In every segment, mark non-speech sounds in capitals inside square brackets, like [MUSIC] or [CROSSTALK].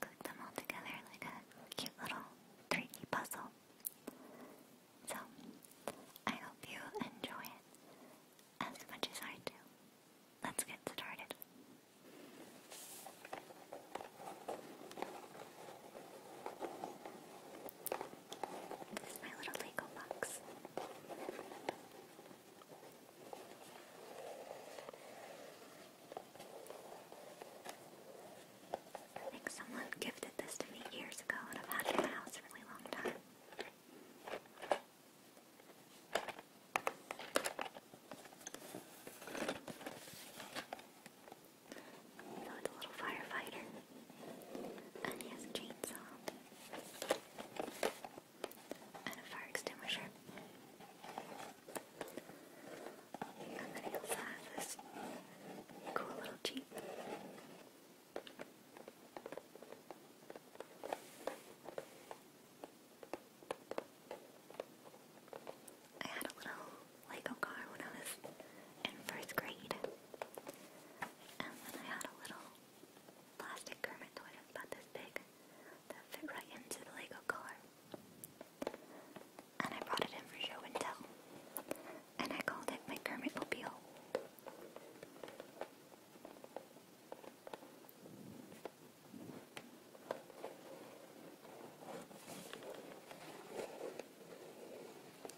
Click them all together like a cute little 3 puzzle. So, I hope you enjoy it as much as I do. Let's get started. This is my little Lego box. I think someone gifted this to me years ago and I've had it in my house a really long time. So a little firefighter. And he has a chainsaw. And a fire extinguisher. I'm gonna go had a little Lego car when I was in first grade. And then I had a little plastic Kermit toy about this big that fit right into the Lego car. And I brought it in for show and tell. And I called it my Kermit Mobile.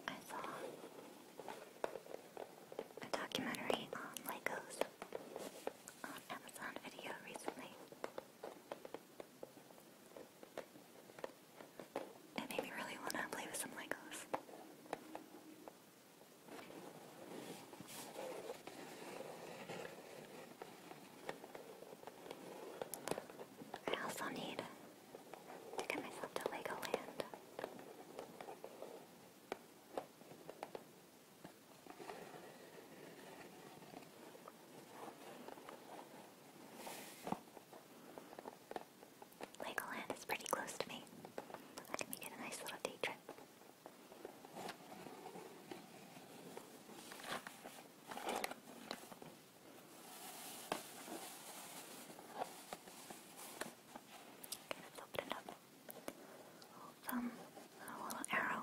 I saw a documentary on Legos on Amazon Video recently. It made me really want to play with some Legos. I also need to get myself to Legoland. Legoland is pretty close to me. I can make it a nice little day trip. open it up. thumb, little arrow.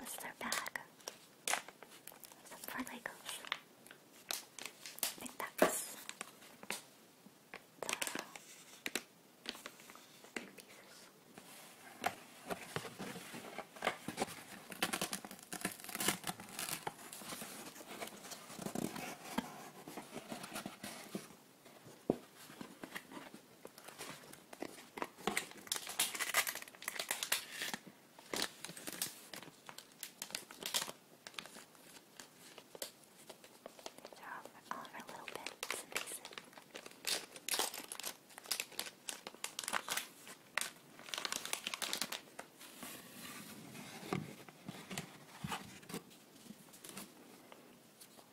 This is our bag. Some four I think that's the pieces. All, all of our little bits and pieces.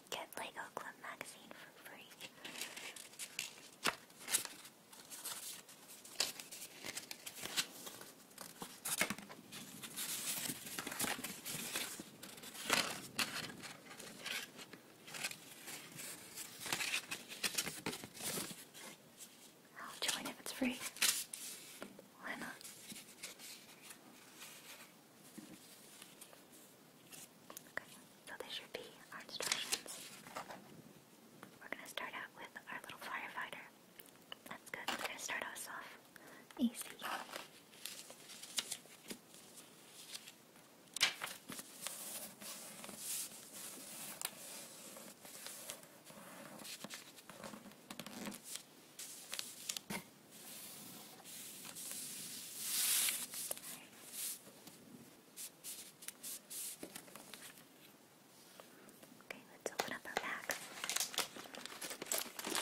Get Lego Club magazine for free. I'll join if it's free. Why not? Okay, so this should be our instructions. We're gonna start out with our little firefighter. That's good. We're gonna start us off easy. Okay, let's open up our bags. Okay,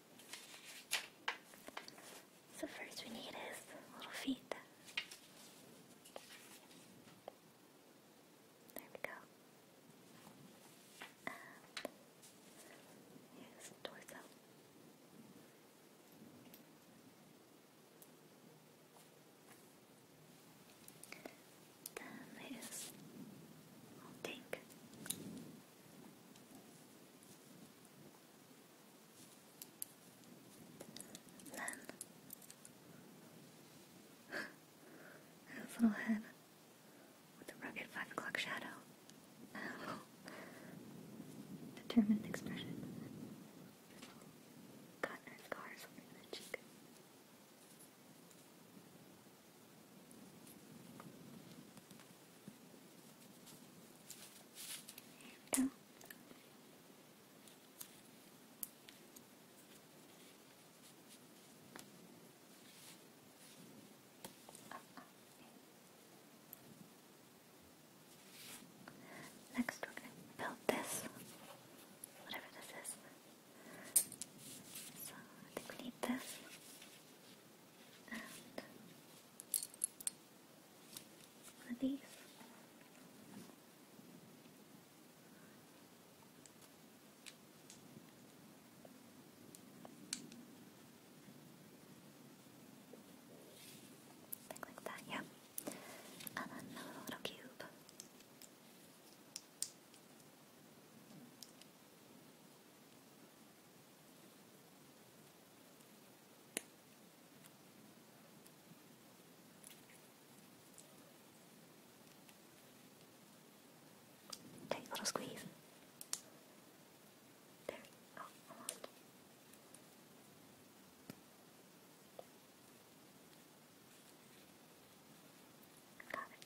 So first we need his little feet. There we go. his torso. Then his little and then his [LAUGHS] little head with a rugged five o'clock shadow. [LAUGHS] Determined expression. Cotton or scars over the cheek. Done. Next, we're going to build this, whatever this is. So, I think we need this and for like that, yeah. And then another little cube. Take a little squeeze. There. Oh, almost. Got it.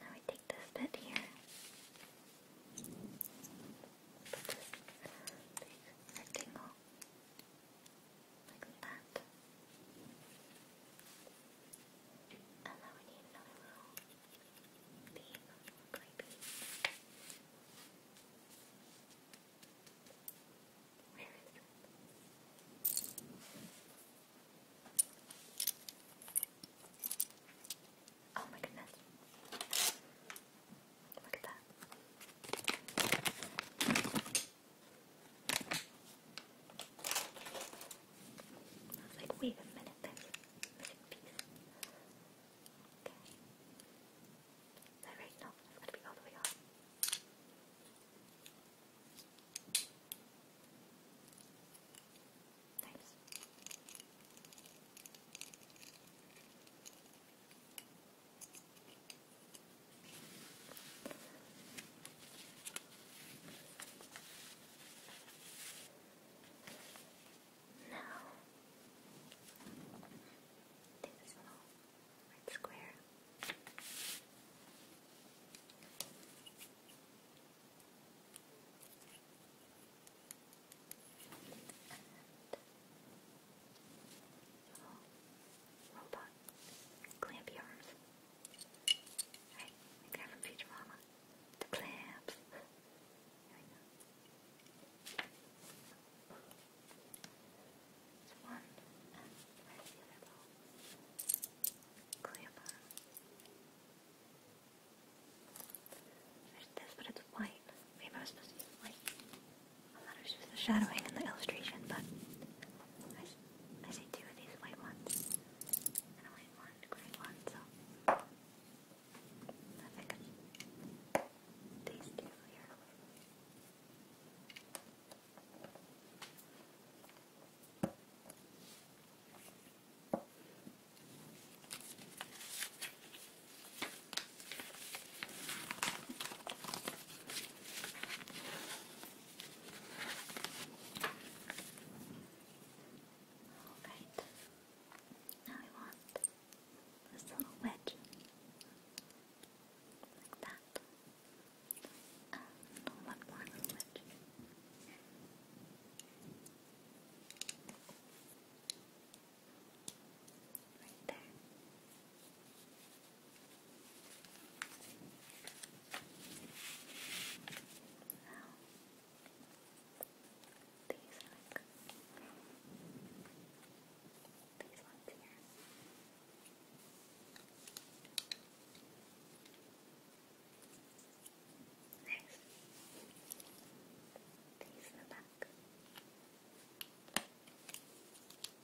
Now we take this bit here. Put this big rectangle like that. And then we need another little beam, clay Where is it? Oh my goodness. Look at that like, wait a minute, Okay. Is No, it's gotta be all the way off. Nice. Now, take this little red square. And Robot. Clampy arms. Right, the guy from Futurama. The clamps. There we go. It's one. And where's the other ball? Clamp arm. There's this, but it's white. Maybe I was supposed to use white. I thought it was just the shadowing in the illustration, but I, see two of these white ones and a white one, gray one, so these two here. Alright. Now we want this little wedge. Like that. And um, one more wedge. Right there. Now, these look, these ones here. Nice. These in the back. These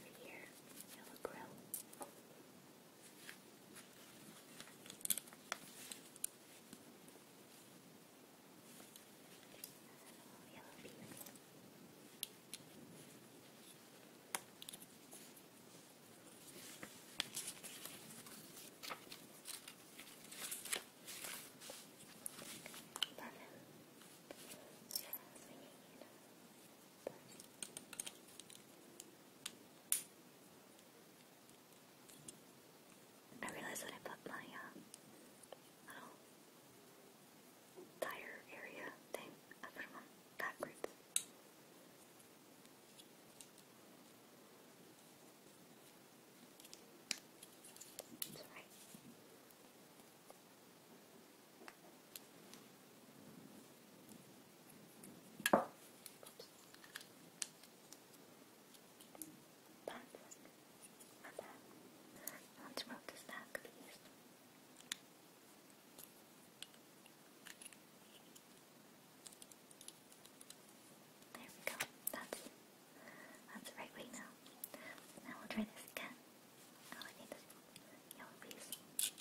Right here, yellow grill. Yellow beans. Lemon. Yes, we need I realized that I put my uh, little tire area thing, I put them on backwards. That's Oops. Bad. Let's roll the stack, please. There we go. That's that's the right way now. Now we'll try this again. Oh, I need a yellow piece. Okay.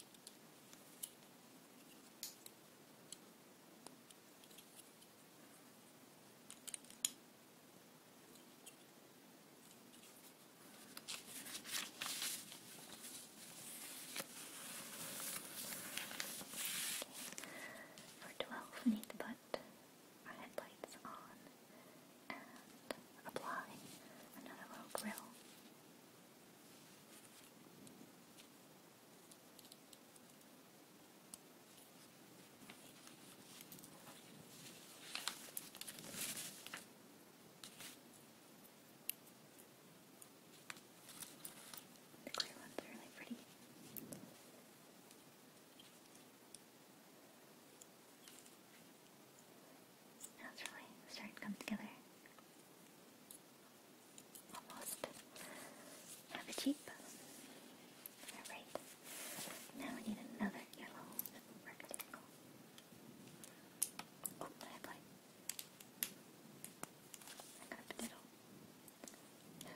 For 12, we need to put our headlights on and apply another little grill. The clear ones are really pretty. It's really starting to come together. Almost. Have a cheap. Alright. Now we need another yellow rectangle. Oh, the headlight. I got the middle. here.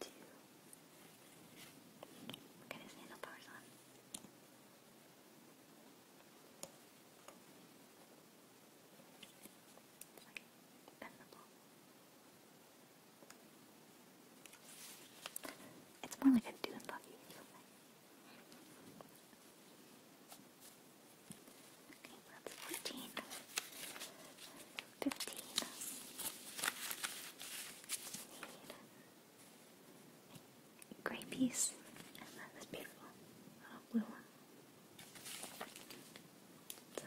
two. We'll get his handlebars on. It's like bendable. It's more like a dune buggy or something. Okay, that's 14 fifteen. Need piece, and then beautiful little uh, blue one. So.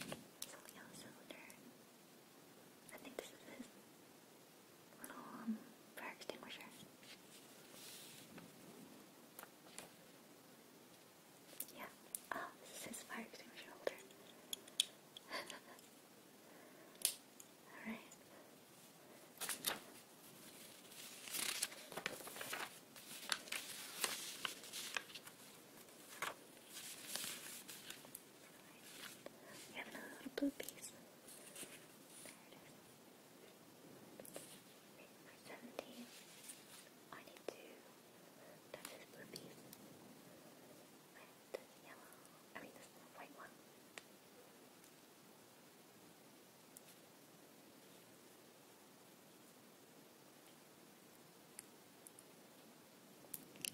Some yellow cylinder. I think this is his little um, fire extinguisher. Yeah. Oh, this is fire extinguisher holder. [LAUGHS] Alright. We have another little blue 17, I need to touch this blue piece yellow, I mean this white one.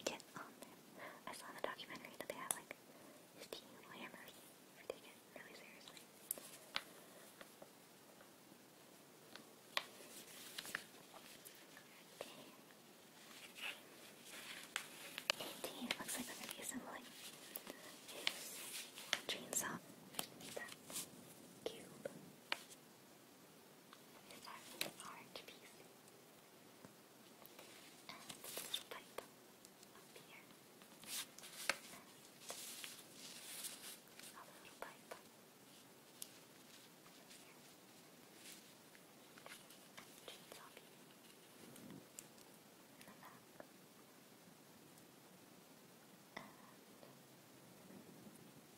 Get I saw the documentary that they have like steam hammers. I take it really seriously. Okay. Eighteen looks like I'm gonna be assembling a chainsaw. That cube. This is our orange piece. And this little pipe up here. another pipe over here. And the chainsaw piece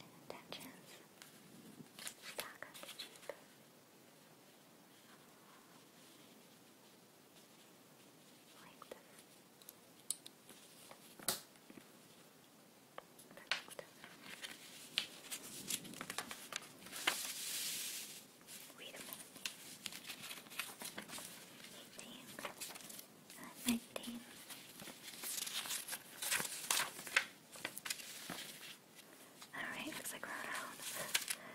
and intentions stuck on the cheap. Like this. Perfect. Wait a minute. You think I'm 19. Alright, looks like we're around. so, um,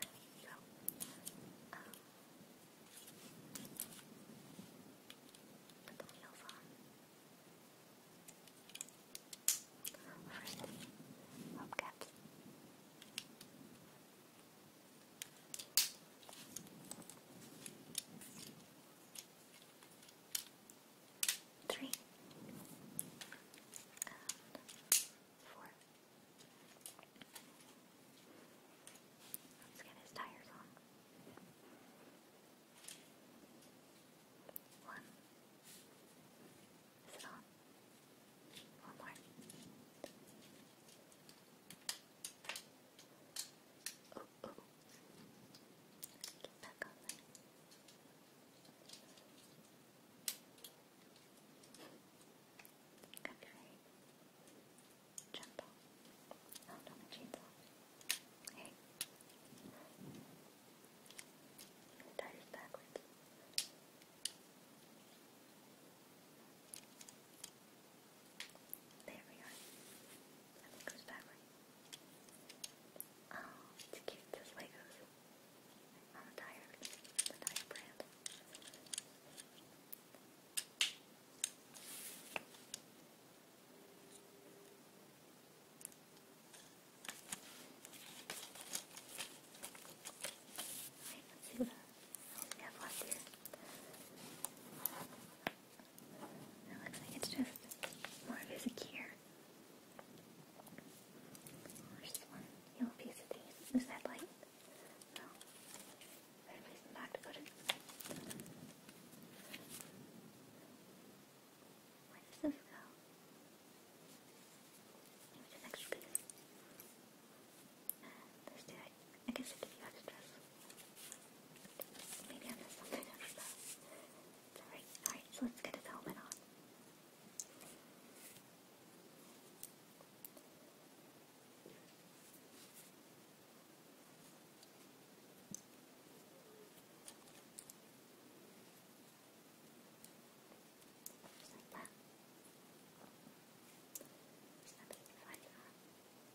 put the wheels on. First, rope caps three, four. Let's get his tires on. One. Is on? One more. Oh, oh. Get back on there. Copyright. Jump off. Hold on, my chainsaw. Hey. The tire's backwards. There we are. I think it goes backward. Oh, it's cute. Just Legos. On the tire. The tire brand. let's see what we have left here. It looks like it's just more of his gear. There's one yellow piece of these. Is that light? No. Better place back Where does this go? Maybe this extra piece. There's two I, I guess it could be out of stress. Maybe I missed something, I don't know. It's alright, alright, so let's get his helmet on. Just like that. There's nothing to find out. Oh,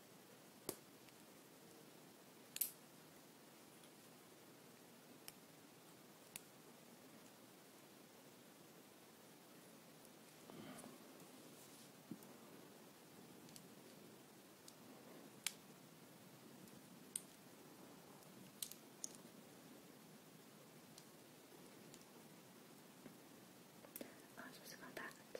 I'm supposed to go that.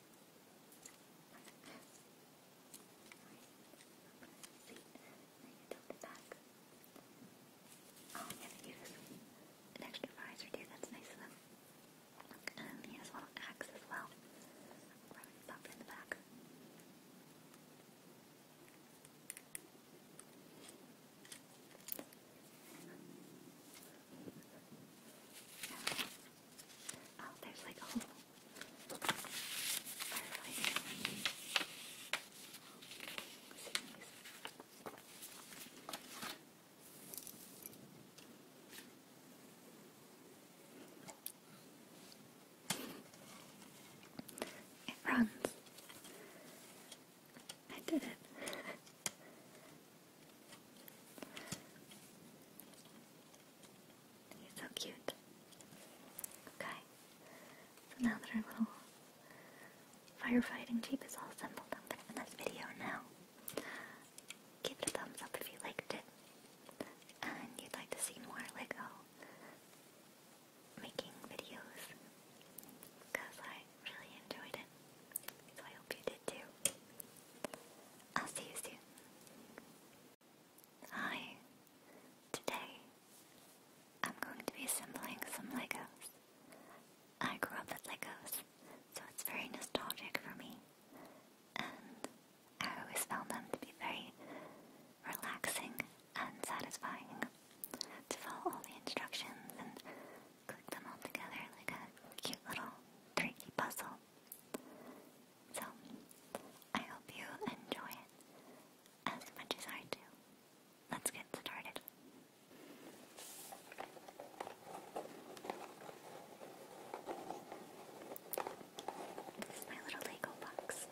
Oh, I'm gonna use an extra visor too, that's nice of them. And he has a little axe as well. Probably stop in the back. Oh, there's like a whole fireplace. It runs. I did it. He's so cute. Okay. So now that our little firefighting jeep is all assembled, I'm gonna end this video now. Give it a thumbs up if you liked it. And you'd like to see more Lego oh, making videos. Because I really enjoyed it. So I hope you did too. I'll see you soon. Hi. Today, I'm going to be assembling some Legos. I grew up with Legos, so it's very nostalgic for me. And I always found them to be very relaxing and satisfying to follow all the instructions and click them all together like a cute little tricky puzzle. So, I hope you enjoy it as much as I do. Let's get started. This is my little Lego box.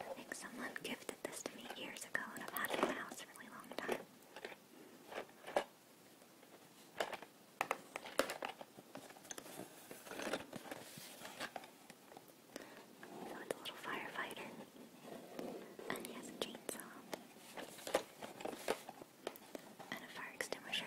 I think someone gifted this to me years ago and I've had it in my house for a really long time. it's a little firefighter. And he has a chainsaw. And a fire extinguisher.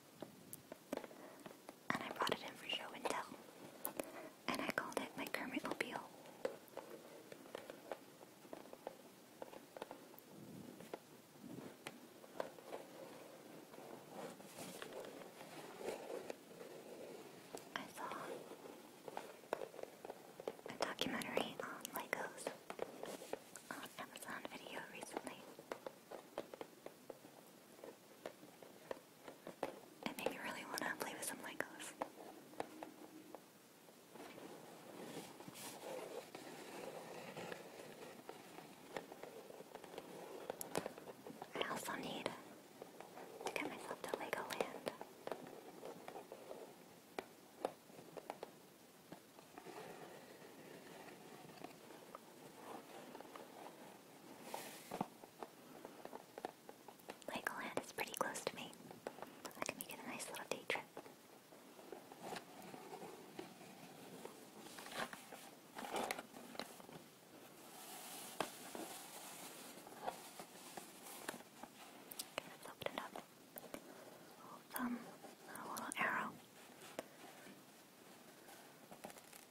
And I brought it in for show and tell. And I called it my Kermit Mobile. I saw a documentary on Legos on Amazon Video recently. It made really want to play with some Legos. I also need to get myself to Legoland. Legoland is pretty close to me. I can make it a nice little day trip. Okay, let's open it up. thumb, a little arrow.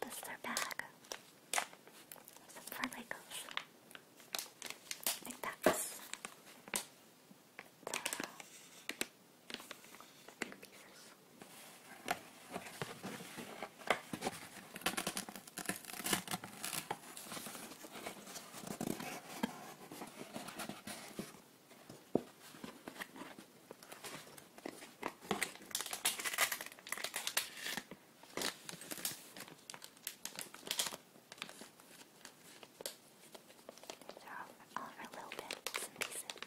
Buster bag. Some for Legos. I think that's the big pieces. These are all, all our little bits and pieces.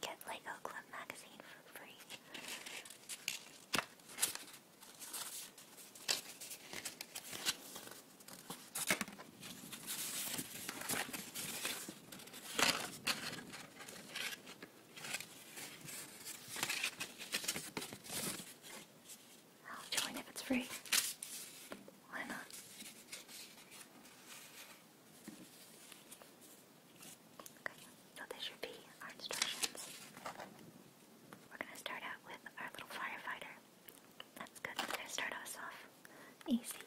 Get Lego Oakland magazine for free. I'll join if it's free. Why not? so this should be our instructions. We're gonna start out with our little firefighter. That's good, we're start us off easy.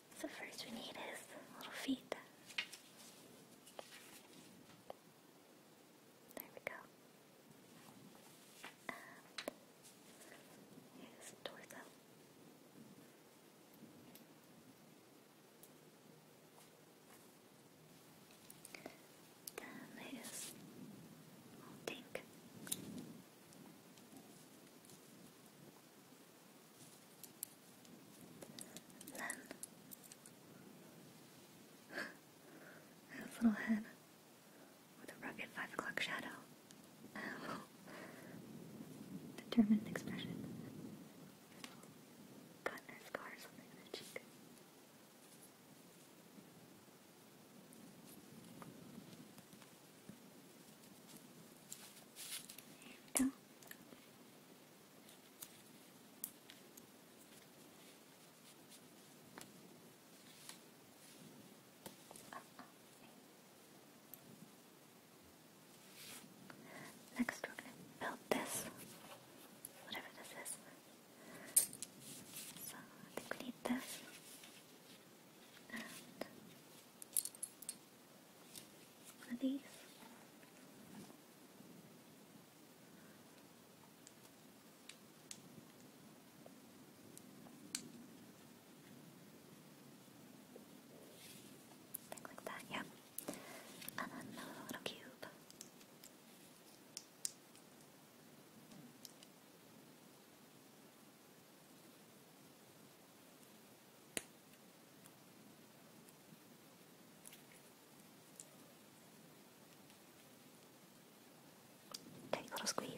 So first we need his little feet. There we go. Um, and his torso. Then his little and [LAUGHS] little head with a rugged five o'clock shadow. [LAUGHS] Determined expression. Got a scar or something in the cheek. There we Next, we're going to build this, whatever this is. So, I think we need this. And one of these. like that, yep. And then another little cube. Take a little squeeze.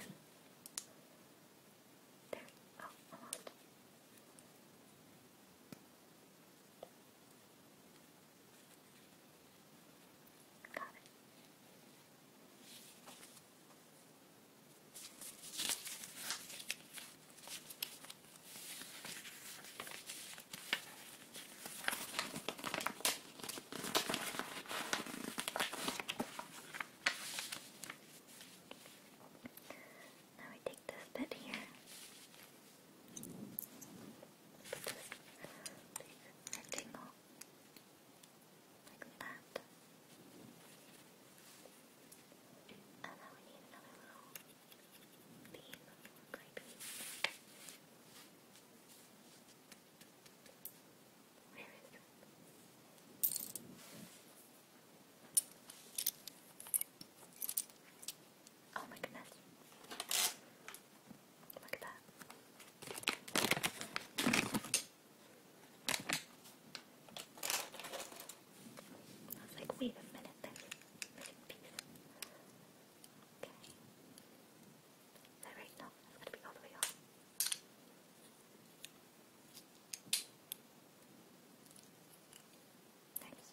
There. almost. Oh, Got it. Now we take this bit here. Put this big rectangle like that. And then we need another little bean, little grey bean. Where is it? Oh my goodness. Look at that. I was like, wait a minute, that's a missing piece. Okay. Is that right? No, it's gotta be all the way off. Nice.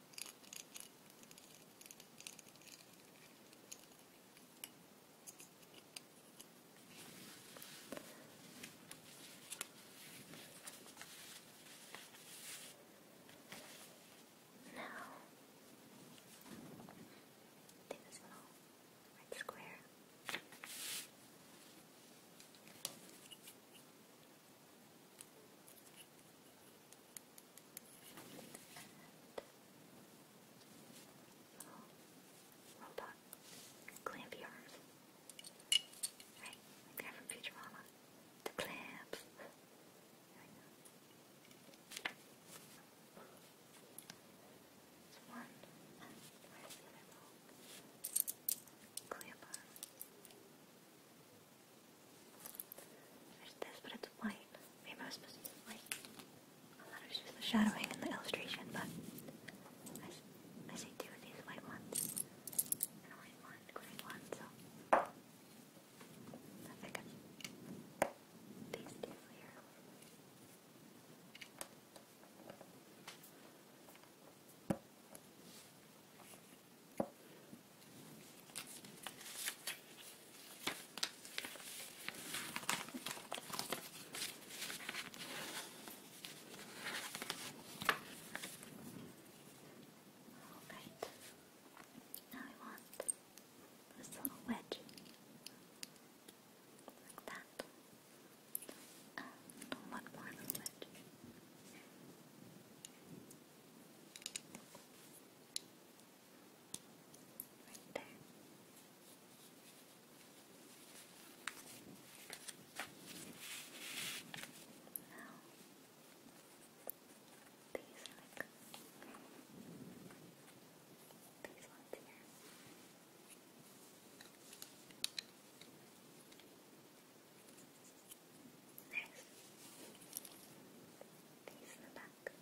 Now, do this little red square. And robot clampy arms. Right, like they're from The clamps. It's one. Where's the one? Clamp There's this, but it's white. Maybe I supposed to use white. I thought it just the shadowing and the illustration, but I see two of these white ones and only one green one, so I think these two here. Alright. Now I want this little wedge. Like that. Um, one more wedge. Right there. Now, these are like these ones here. Nice. These in the back. Nice.